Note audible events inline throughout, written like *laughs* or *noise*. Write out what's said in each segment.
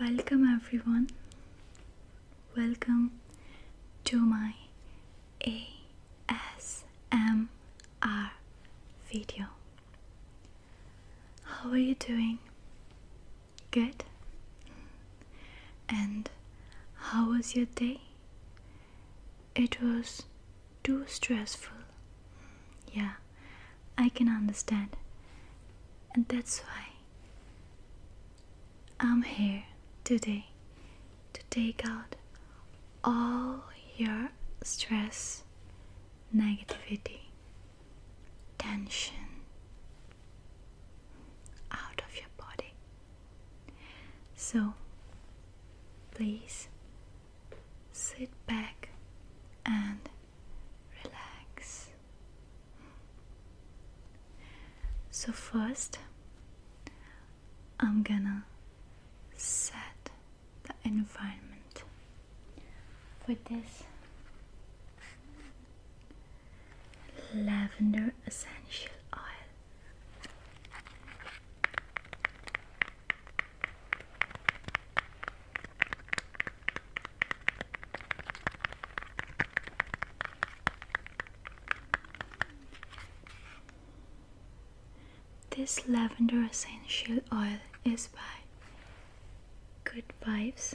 Welcome everyone. Welcome to my ASMR video. How are you doing? Good. And how was your day? It was too stressful. Yeah, I can understand. And that's why I'm here today to take out all your stress, negativity, tension out of your body. So please sit back and relax. So, first, I'm gonna set the environment for this lavender essential oil. This lavender essential oil is by Good Vibes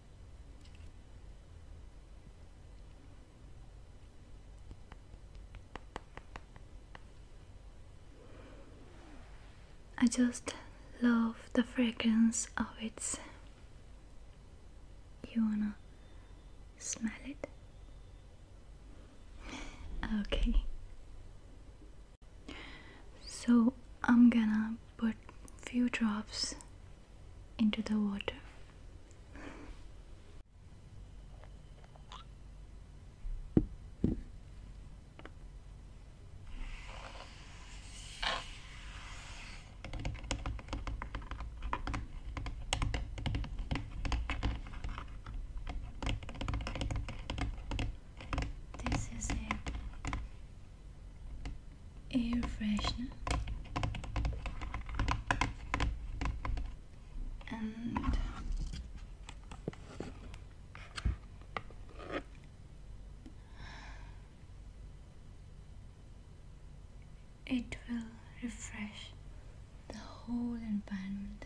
I just love the fragrance of it. You wanna smell it? *laughs* okay. So I'm gonna put few drops into the water. This is a air freshener and it will refresh the whole environment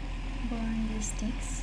burn the sticks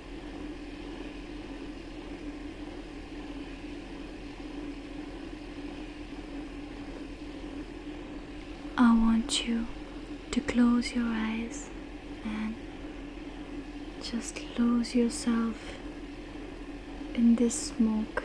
I want you to close your eyes and just lose yourself in this smoke.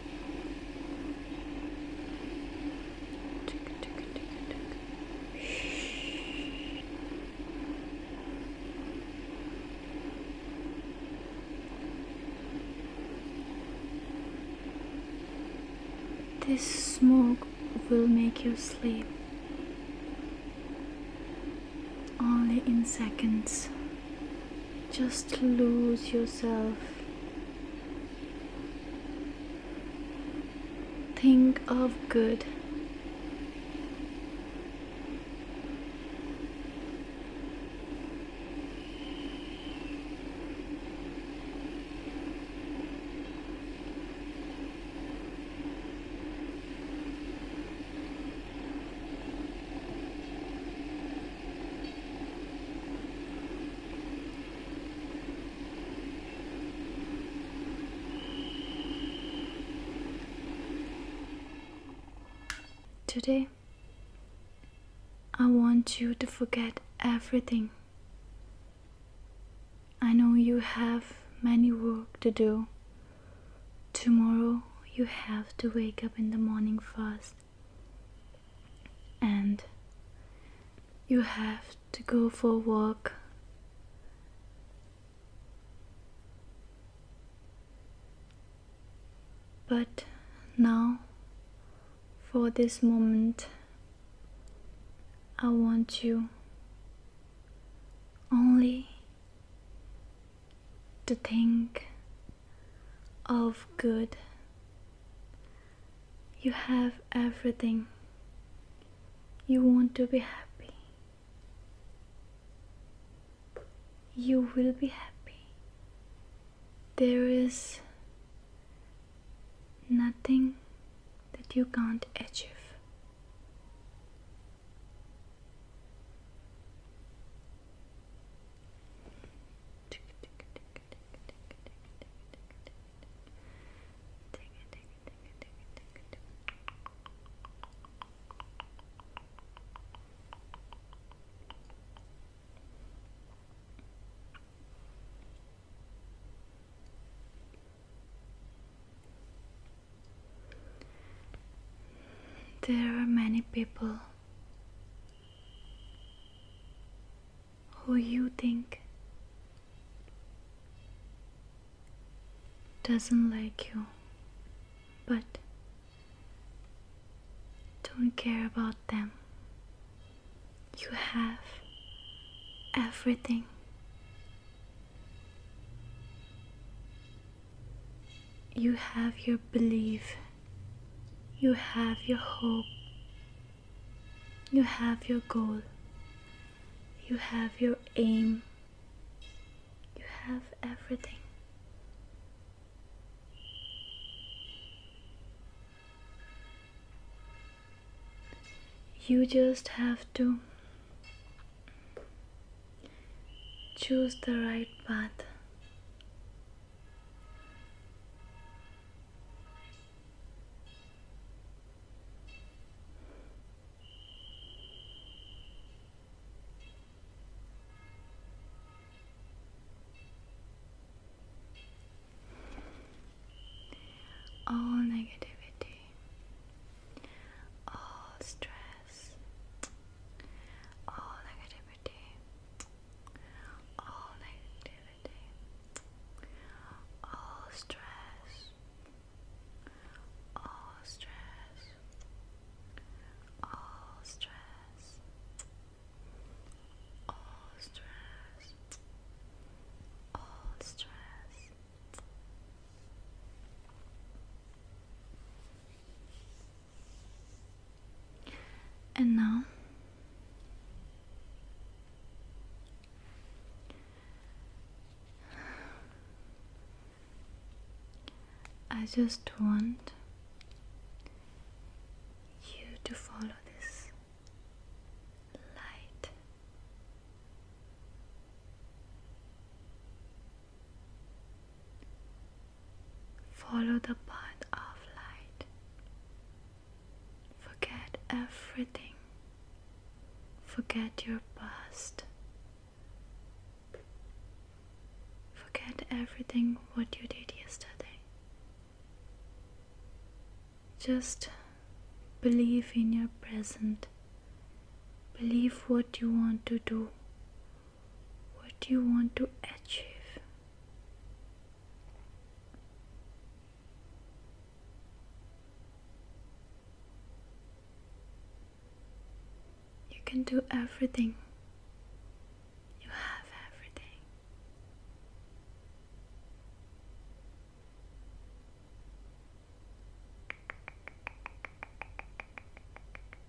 This smoke will make you sleep only in seconds. Just lose yourself. Think of good. Today, I want you to forget everything. I know you have many work to do. Tomorrow, you have to wake up in the morning fast and you have to go for a walk but now for this moment I want you only to think of good. You have everything. You want to be happy. You will be happy. There is nothing that you can't achieve. There are many people who you think doesn't like you, but don't care about them. You have everything you have your belief, you have your hope, you have your goal, you have your aim, you have everything. You just have to choose the right path all negativity, all stress, all negativity, all negativity, all stress, all stress, all stress, all stress, all stress. All and now I just want you to follow this light. Follow the path of light. Forget everything. Forget your past. Forget everything what you did yesterday. Just believe in your present. Believe what you want to do. What do you want to achieve? You can do everything. You have everything.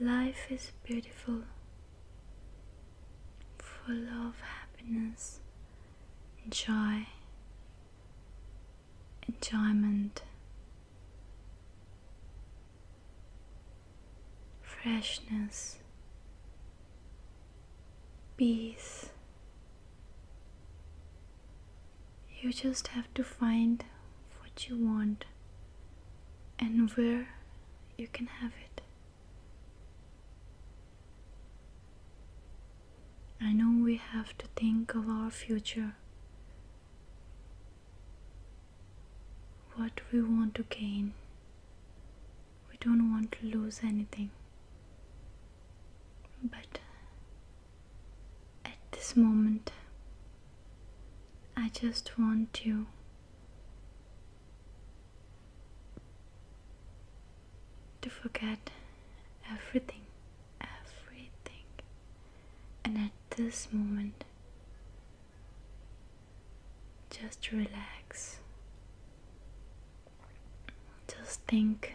Life is beautiful, full of happiness, joy, enjoyment, freshness, peace. You just have to find what you want and where you can have it. I know we have to think of our future. What we want to gain. We don't want to lose anything. But at this moment, I just want you. To forget everything, everything, and at this moment, just relax, just think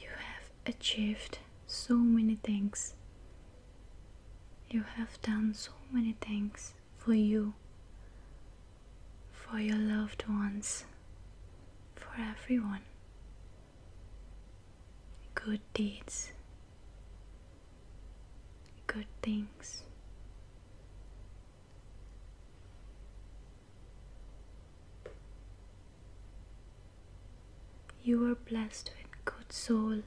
you have achieved so many things. You have done so many things for you, for your loved ones, for everyone. Good deeds, good things. You are blessed with good soul,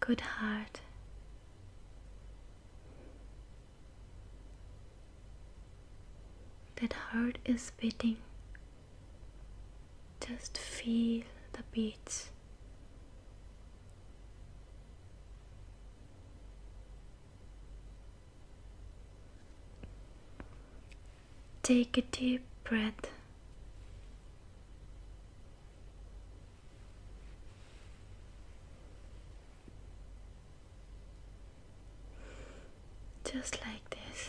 good heart. That heart is beating. Just feel the beats. Take a deep breath. Just like this.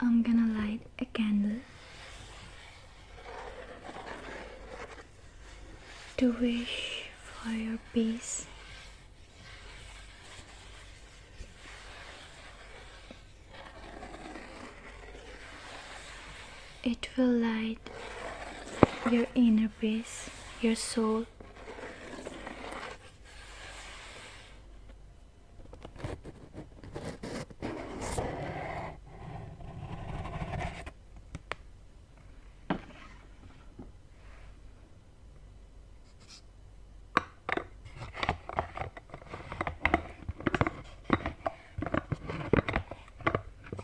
I'm gonna light a candle to wish for your peace. It will light your inner peace, your soul.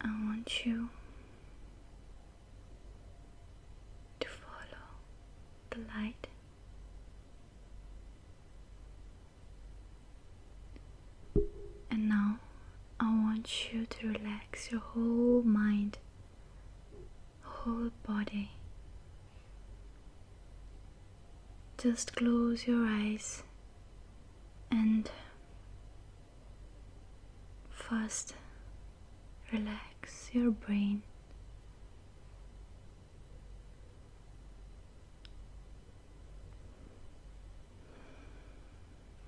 I want you to follow the light. And now I want you to relax your whole mind whole body. Just close your eyes and first relax your brain.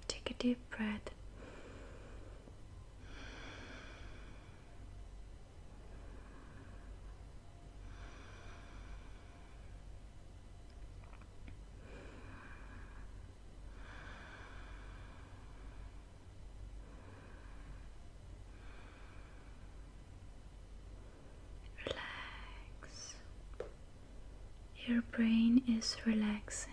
Take a deep breath Relax. Your brain is relaxing.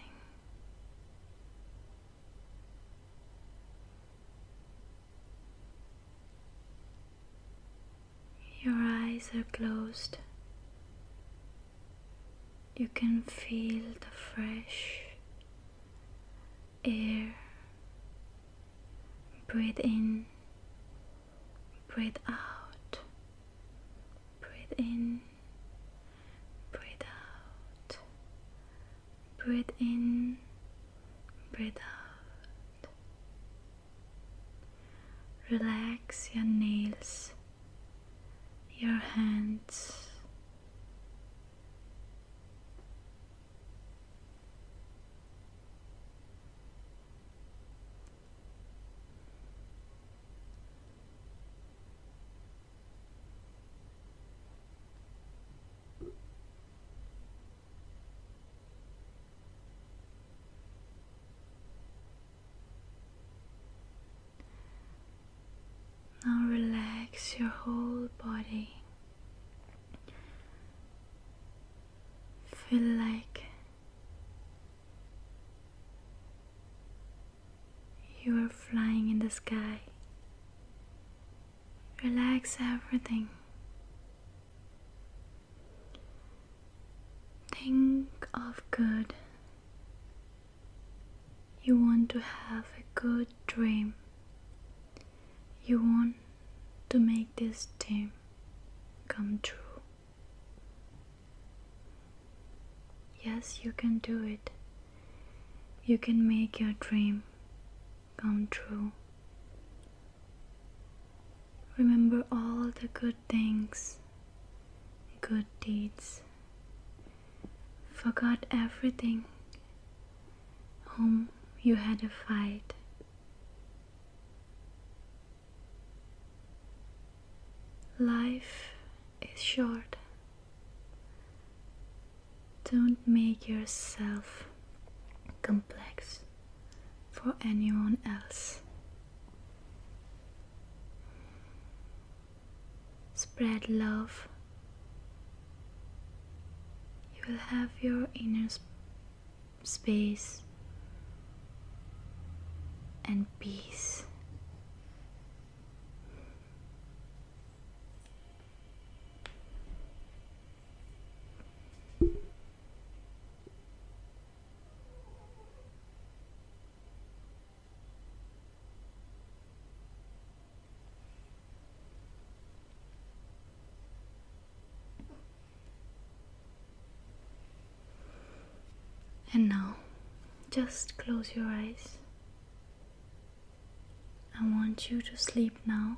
Your eyes are closed. You can feel the fresh air. Breathe in, breathe out, breathe in, breathe out, Breathe in, breathe out. Relax your nails, your hands. Now relax your whole body. Feel like you are flying in the sky. Relax everything. Think of good. You want to have a good dream. You want to make this dream come true. Yes, you can do it. You can make your dream come true. Remember all the good things, good deeds. Forgot everything whom you had a fight. Life is short. Don't make yourself complex for anyone else. Spread love. You will have your inner space and peace. And now, just close your eyes I want you to sleep now.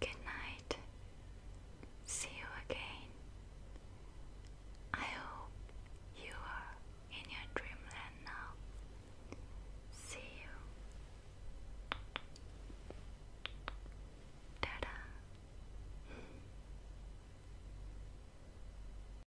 Good night. See you again. I hope you are in your dreamland now. See you. ta